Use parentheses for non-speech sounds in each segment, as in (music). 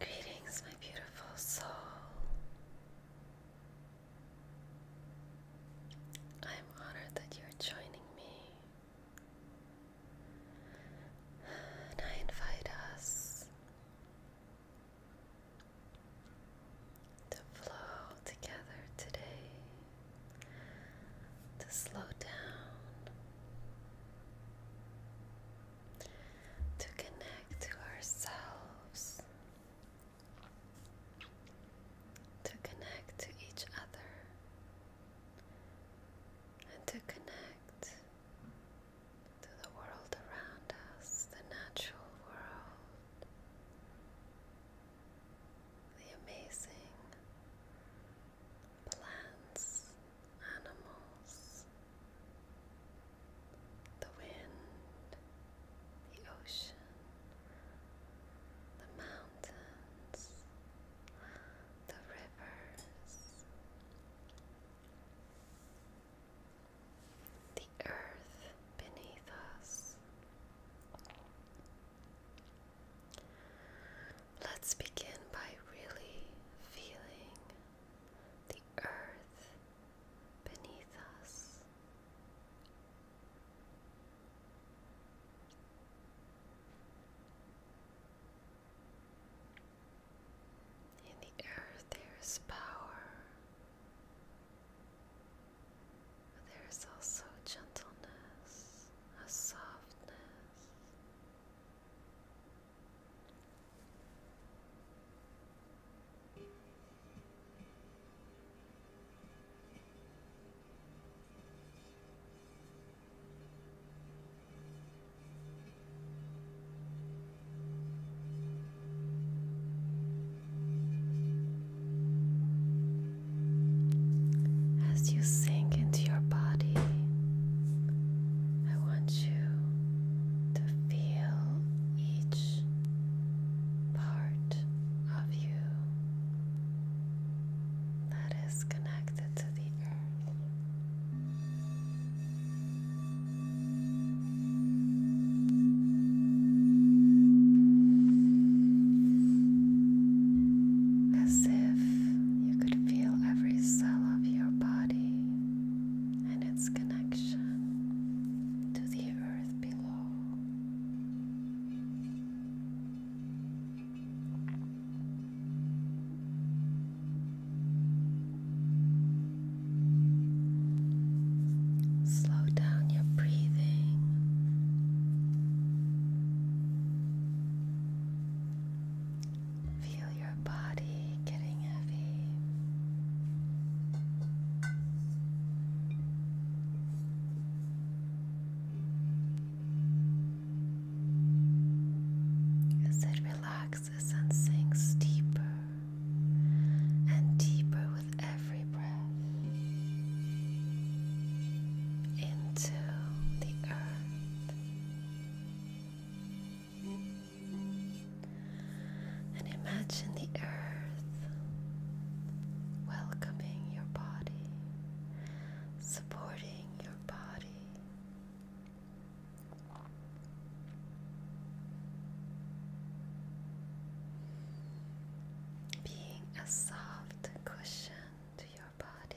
Greetings, my beautiful soul. I'm honored that you're joining me. And I invite us to flow together today, to slow down, to connect to ourselves, to connect to each other, and to connect to the world around us, the natural world, the amazing plants animals, the wind, the ocean, the mountains, the rivers, the earth beneath us. Let's begin by really feeling the earth beneath us. In the earth, there is power, there is also gentleness, a softness, as you sink into your body, I want you to feel each part of you that is connected to the earth. As if you could feel every cell of your body and its connection to the earth below. Slow down your breathing. Feel your body getting heavy. As it relaxes and sinks deeper and deeper with every breath into the earth. And imagine the earth welcoming your body, supporting your body. Being a soft cushion to your body,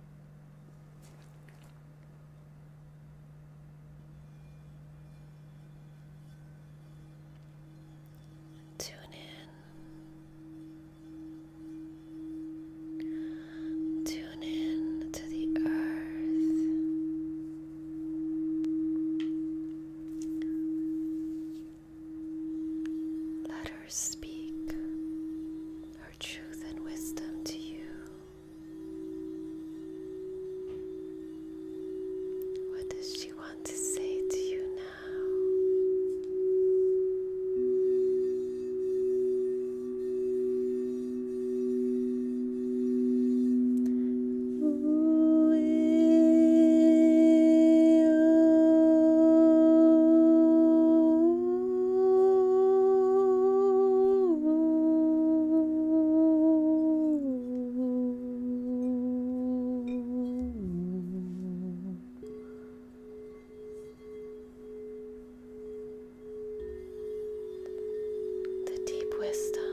Tune in. Tune in to the earth. Let her speak her truth and wisdom to you. What does she want to say to you now? Ooh, the deep wisdom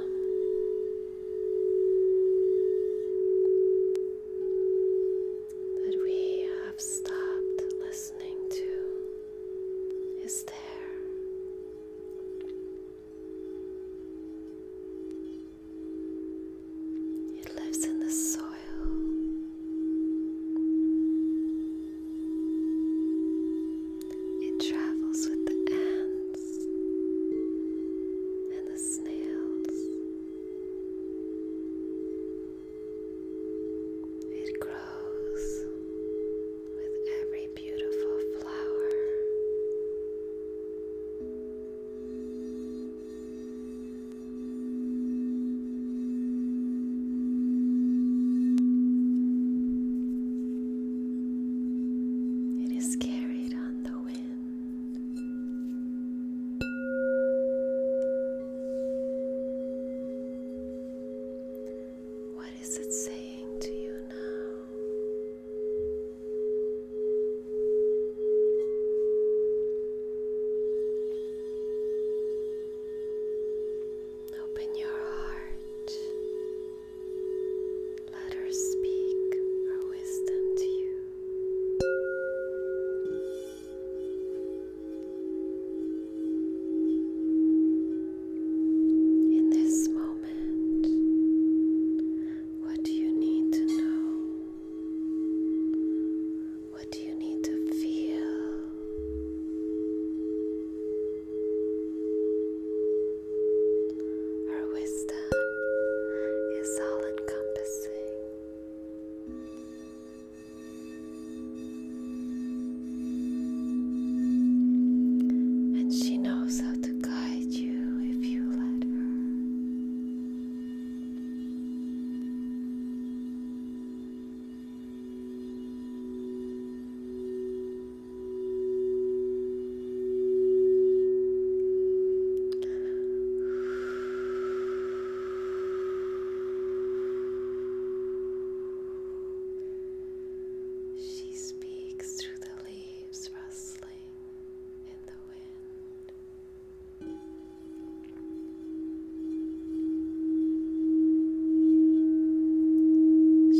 that we have stopped listening to is there. It lives in the soil. It travels with the ants and the snails. It grows with every beautiful flower. It is carried on the wind. What is it saying to you now? Open your heart. Let her speak her wisdom to you. In this moment, what do you need to know? What do you need to feel? Her wisdom is all encompassing. And she knows how to guide you if you let her. She speaks through the leaves rustling in the wind.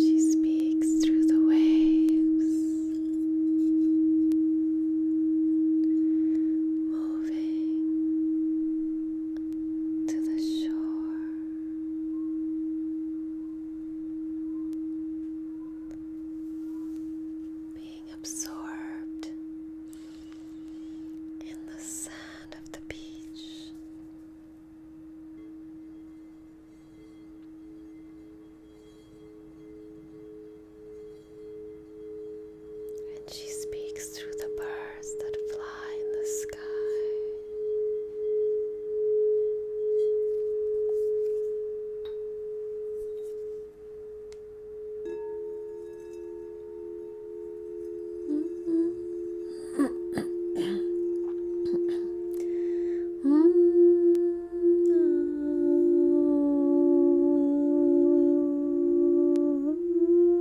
She speaks through the waves, moving to the shore. Being absorbed in the sand of the beach. And she speaks through the birds that fly in the sky. (laughs)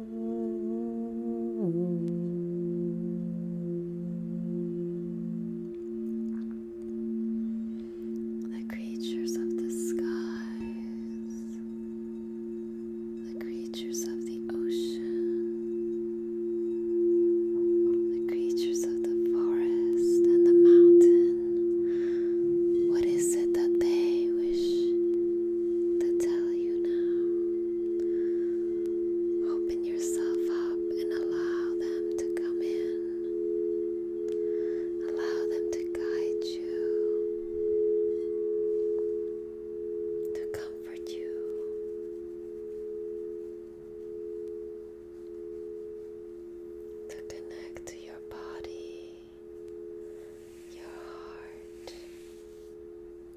The creatures of the skies, the creatures of the ocean, the creatures of the forest and the mountain. What is it that they wish to tell you now? Open yourself up and allow them to come in. Allow them to guide you, to comfort you. To connect to your body, your heart,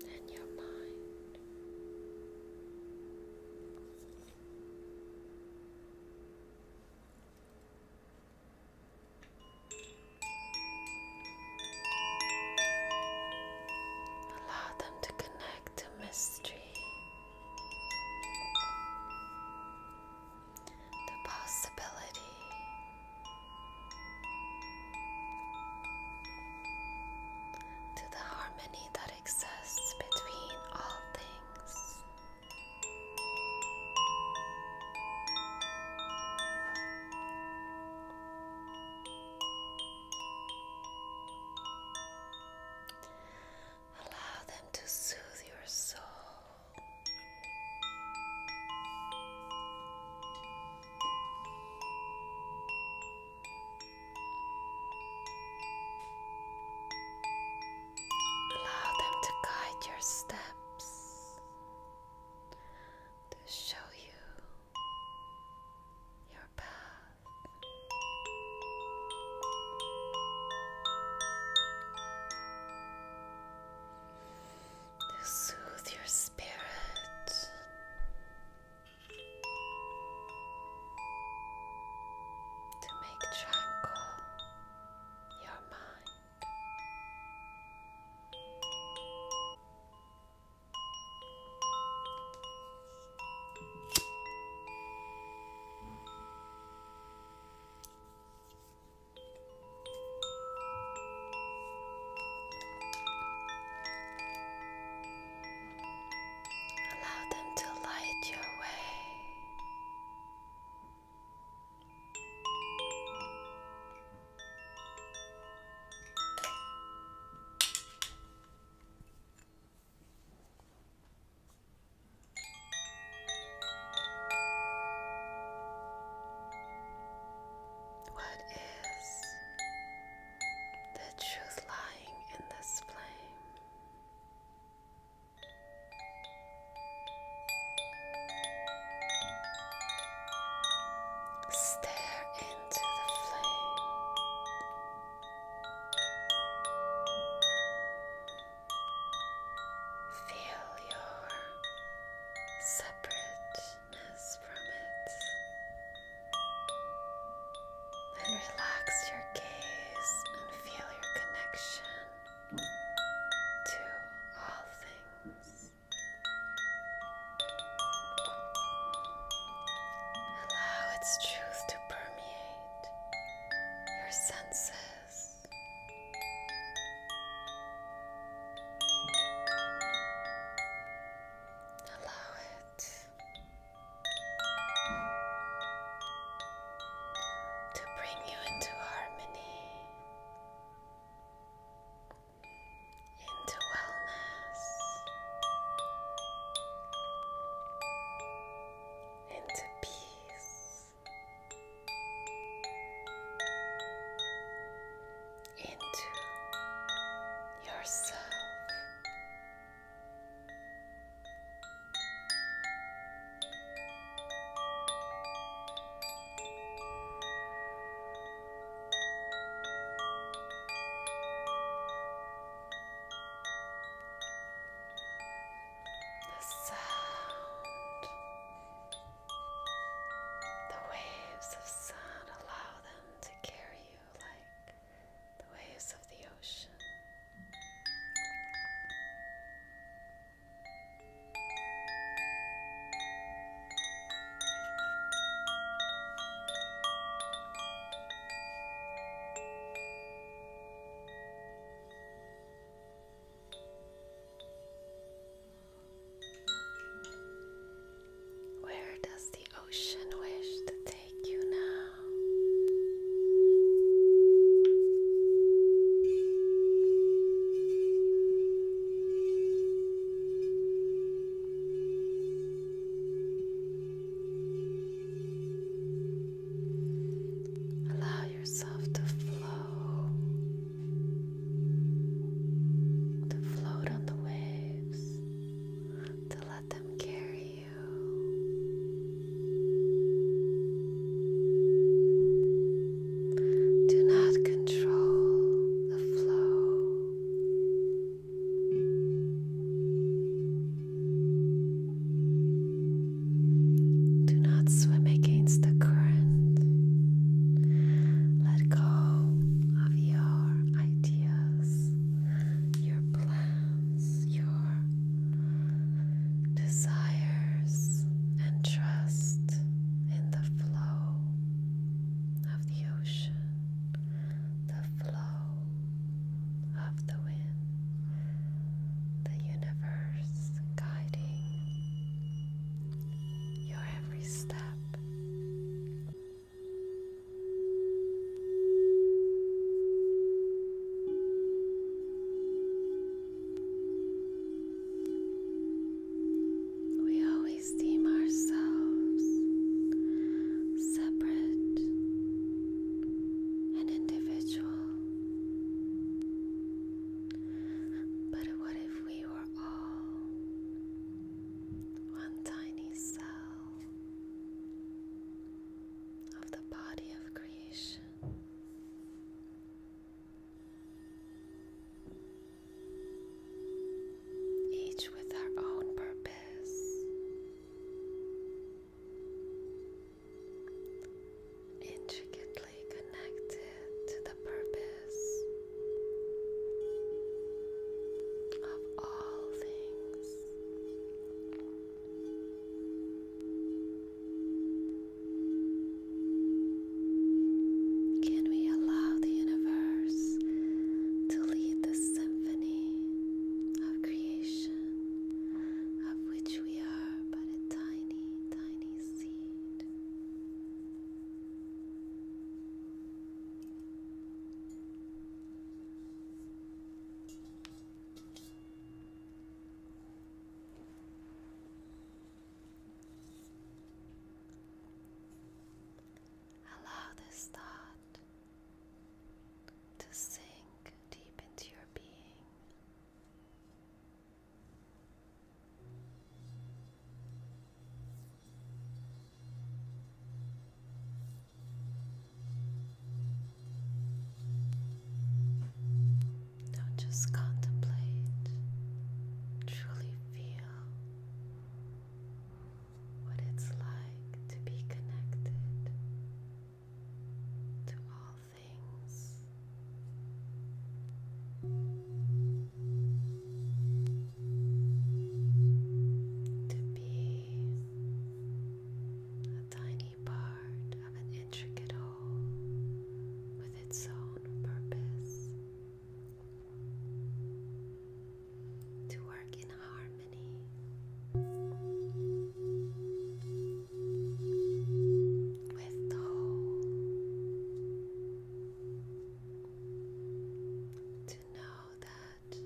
and your mind. Allow them to connect to mystery, the possibility to the harmony that exists between all things. Allow them to soothe your soul. Allow them to guide your steps, to show you your path to soothe your spirit. To make tranquil your mind. Allow them to light your way. What is the truth lying in this flame. Stare into the flame. Feel your separate and relax your gaze and feel your connection to all things. Allow its truth to permeate your senses. Allow it to bring you into harmony, into wellness, into peace into yourself. The sound, the waves of sun allow them to carry you like the waves of the ocean. Where does the ocean wish to take you now? Allow yourself to flow to float on the waves, to let them carry you. Do not control the flow. Do not swim against the current. Let go of your ideas, your plans, your desires, and trust in the flow of the ocean, the flow of the wind, the universe guiding your every step. We always deem ourselves separate and individual. But what if we were all one tiny cell of the body of creation. Each with our own purpose, intricately connected to the of all things. Can we allow the universe to lead the symphony of creation of which we are but a tiny, tiny seed? Allow this thought to sink deep into your being. Now just contemplate, truly feel what it's like to be connected to all things to be a tiny part of an intricate whole with its own purpose, to work in harmony with the whole to know that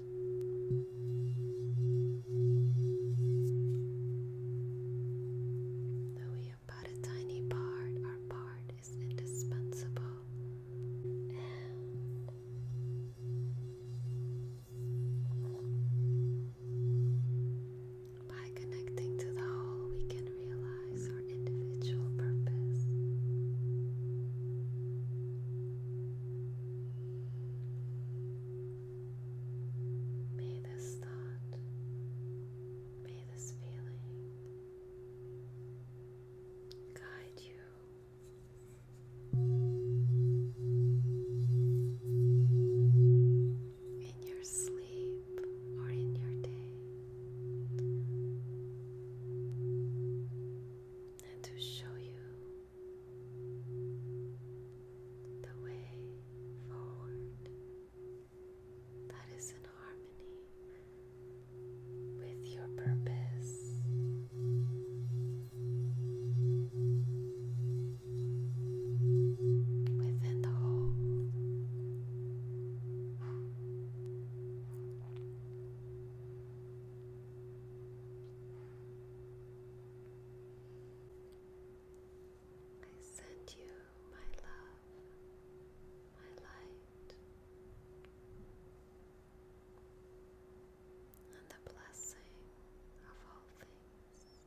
though we are but a tiny part, our part is indispensable. by connecting to the whole, we can realize realize our individual purpose. May this thought, may this feeling guide you. In your sleep or in your day, and to show you the way forward that is in harmony with your purpose. Within the whole, I send you my love, my light, and the blessing of all things.